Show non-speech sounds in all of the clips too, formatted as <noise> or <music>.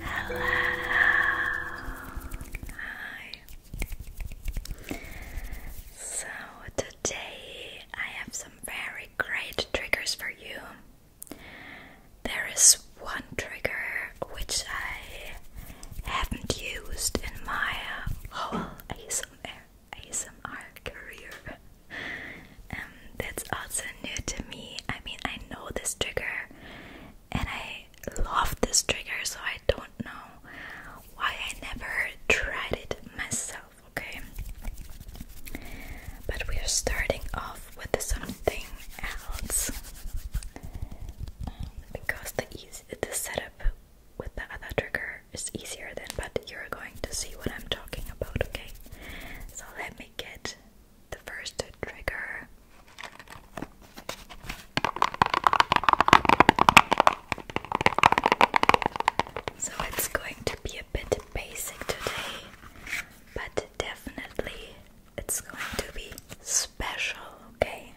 Hello. Hi. So today I have some very great triggers for you. There is one trigger which I haven't used in my whole ASMR, ASMR career. Um, that's also new to me. I mean, I know this trigger and I love this trigger, so I don't know why I never tried it myself, okay? But we are starting off with something else um, because the, the setup with the other trigger is easier than, but you're going to see what I'm talking about, okay? So let me me get the first trigger. So it's going to be a bit basic today, but definitely it's going to be special, okay?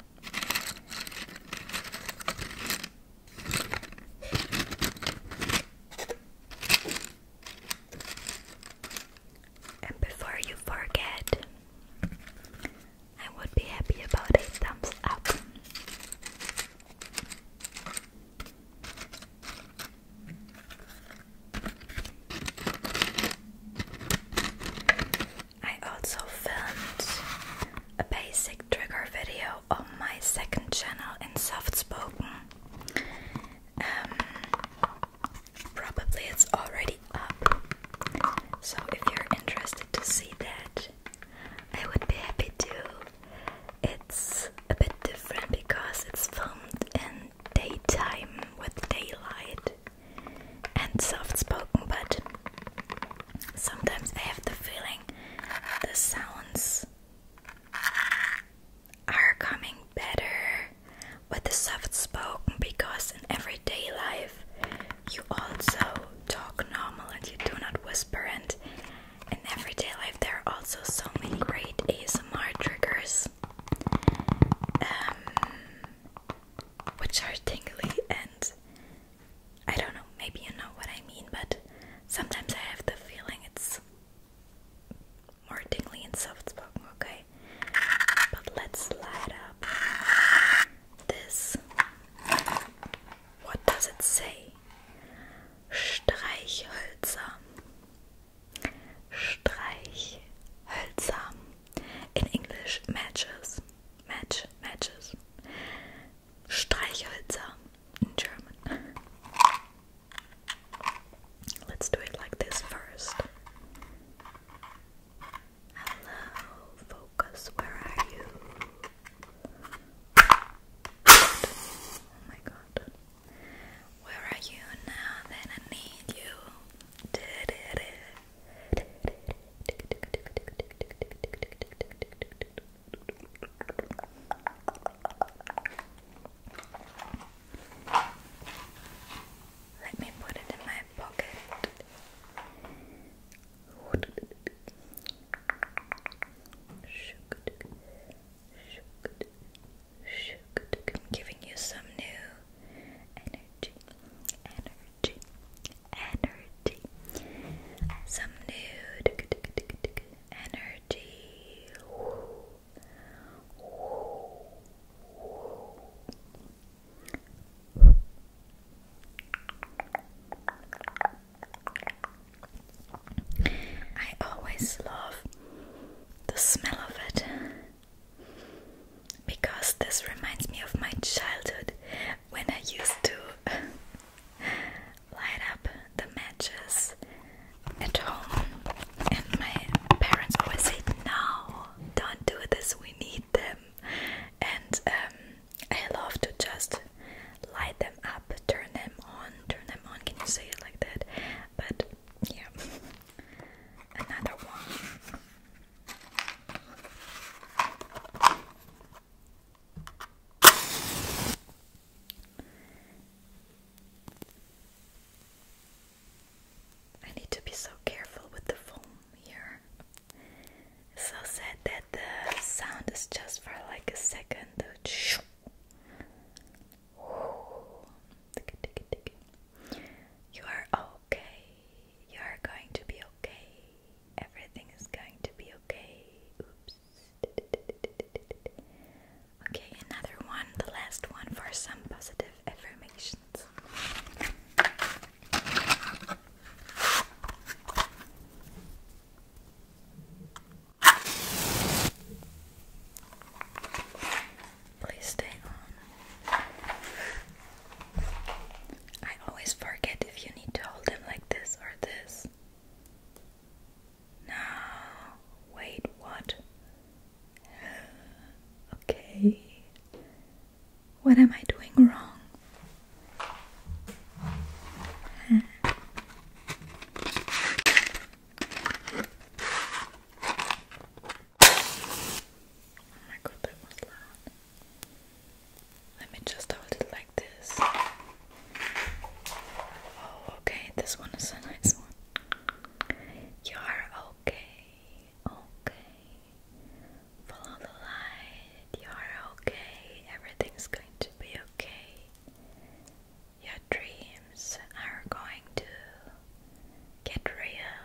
And before you forget, I would be happy about a thumbs up. I also filmed a basic trigger video on my second channel in soft spoken um, probably it's already up. So if you're interested to see that, I would be happy to. It's a bit different because it's filmed in daytime with daylight and soft spoken, but sometimes I have the feeling the sounds are coming better with the soft spoken because in everyday life you also talk normal and you do not whisper and in everyday life there are also so many great ASMR triggers um, which are tingly and I don't know maybe you know what I mean but sometimes I have the feeling it's more tingly and soft spoken, okay? But let's light up this. What does it say? Streichhölzer. Streichhölzer. In English, matches. Match, matches. Streichhölzer in German. Let's do it like this first. Hello, focus, where are you? Oh my god. Where are you now that I need you? Let me put it in my pocket. I'm giving you some new energy, energy, energy, some new energy energy. Ooh. Ooh. Ooh. I always love the smell of it because this reminds me of my childhood when I used to light up the matches at home, and my parents always say, "No, don't do this. We need them." And um, I love to just light them up, turn them on, turn them on. Can you say it like that? But yeah, another one. I need to be so careful with the foam here. so sad that the sound is just for like a second. You are okay. You are going to be okay. Everything is going to be okay. Oops. Okay, another one, the last one for some positive affirmations. Please stay on. I always forget if you need to hold them like this or this. Now, wait, what? <sighs> okay. What am I doing wrong? <sighs> Oh let me just hold it like this. Oh, okay, this one is a nice one. You are okay, okay. Follow the light, you are okay, everything's going to be okay. Your dreams are going to get real.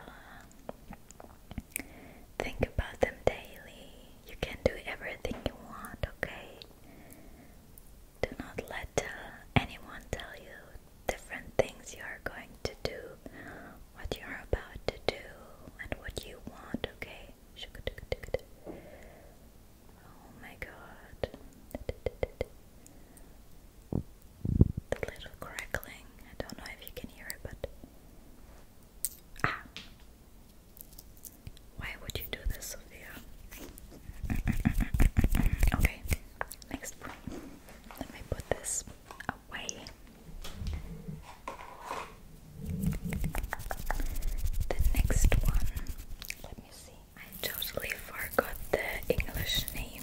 Think about them daily. You can do everything you want, okay? Do not let uh, anyone tell you different things you are going to do, what you are about to do, and what you want, okay? Oh my god. The little crackling. I don't know if you can hear it, but. Ah! Why would you do this, Sophia? okay, next one. Let me put this away. The next one. Let me see. I totally forgot the English name.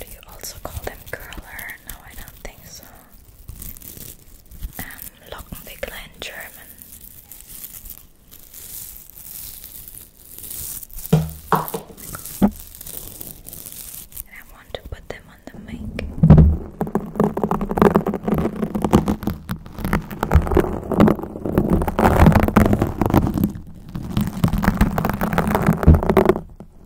Do you also call them curler? No, I don't think so. Um, Lockenwickler in German. I want to put them on the mic. I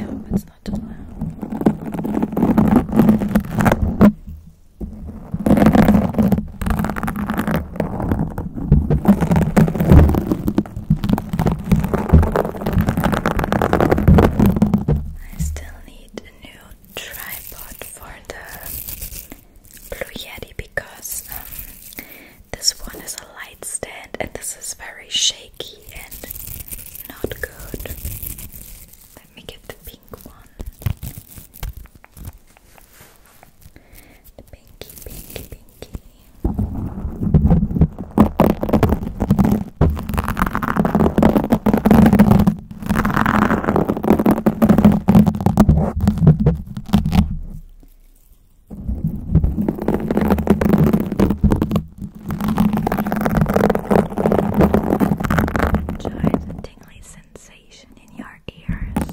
hope it's not too loud. I still need a new tripod for the Blue Yeti because um, this one is a light stand and this is very shaky and not good. Let me get the pink one. The pinky, pinky, pinky. Enjoy the tingly sounds sensation in your ears.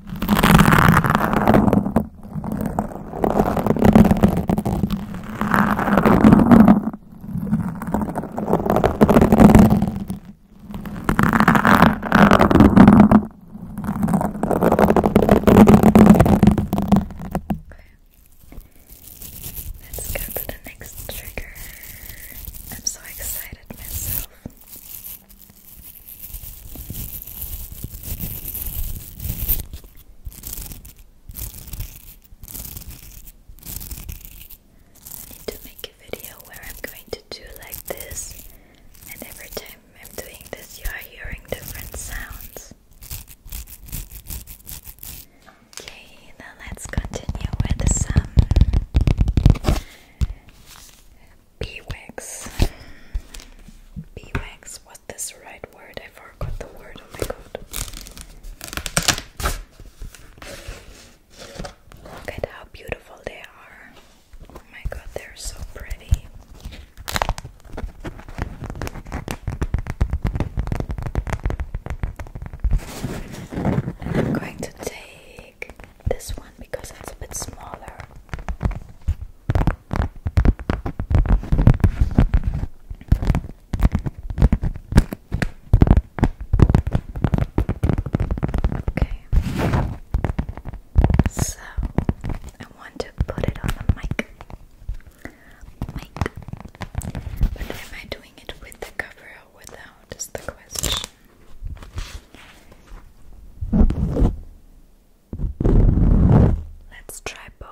Let's go to the next trigger. I'm so excited myself need to make a video where I'm going to do like this, and every time I'm doing this, you are hearing different sounds. Okay, now let's continue with some beeswax. Beeswax What's this right word? I forgot the word. Oh my god. Look at how beautiful they are. Oh my god, they're so pretty. And I'm going to take this one because it's a bit smaller. Okay. So I want to put it on the mic. Mic. But am I doing it with the cover or without is the question. Let's try both.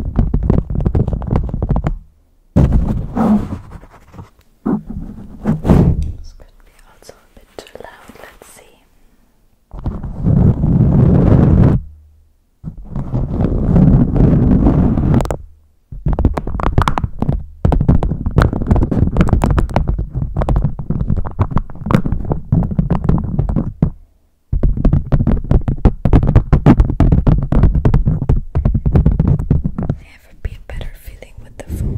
This could be also a bit too loud, let's see. Okay, Never be a better feeling with the phone.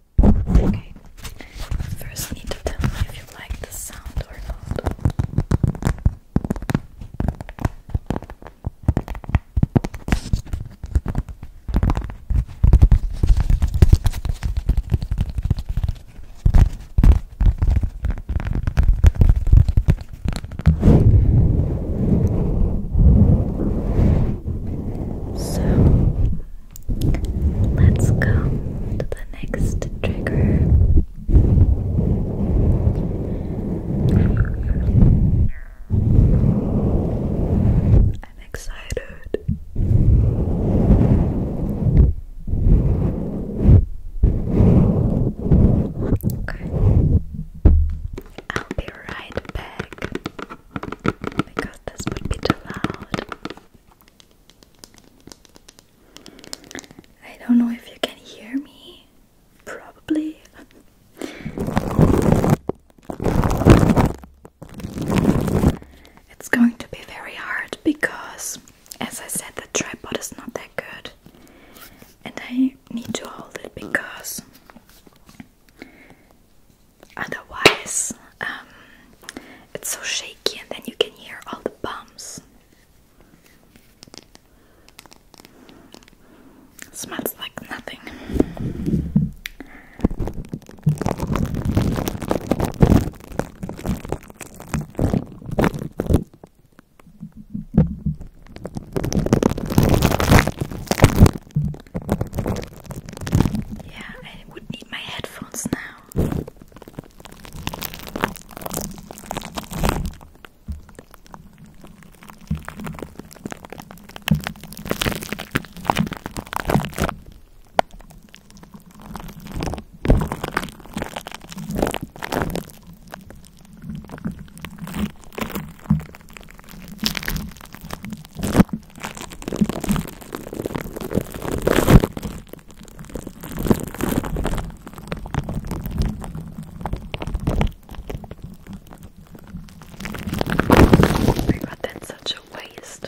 Okay, first need to tell me if you like the sound or not. So Let's go to the next trigger. I'm excited. Okay. I'll be right back because this would be too loud. I don't know if you can hear me. Probably. It's going to be very hard because, as I said, the tripod is not that good, and I need to hold it because Otherwise, um, it's so shaky, and then you can hear all the bumps. Smells like nothing. Yeah, I would need my headphones now. Oh my god, that's such a waste.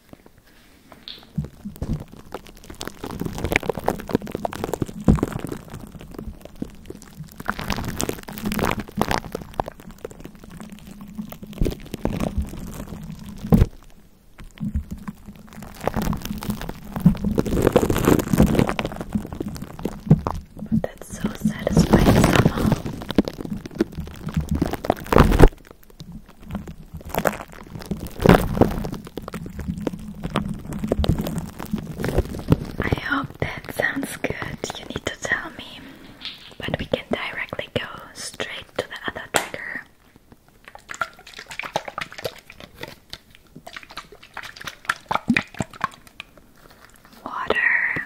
But that's so satisfying somehow. I hope that sounds good. You need to tell me, but we can directly go straight to the other trigger. Water.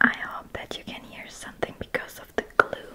I hope that you can hear something because of the glue.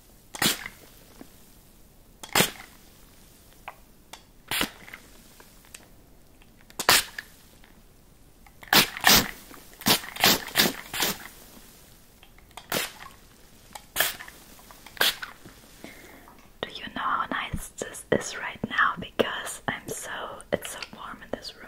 Do you know how nice this is right now because I'm so it's so warm in this room.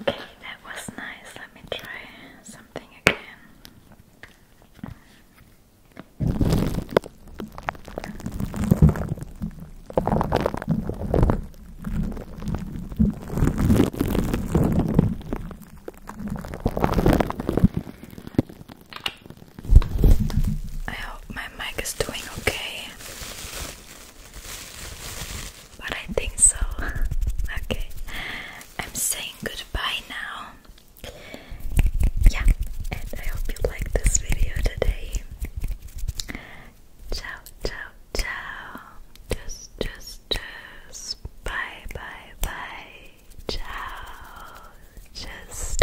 Okay, that was nice. Let me try something again. I hope my mic is doing okay. But I think so. <laughs> okay. I'm saying goodbye now. Yeah, and I hope you liked this video today. Ciao, ciao, ciao. Just, just, just. Bye, bye, bye. Ciao. Just.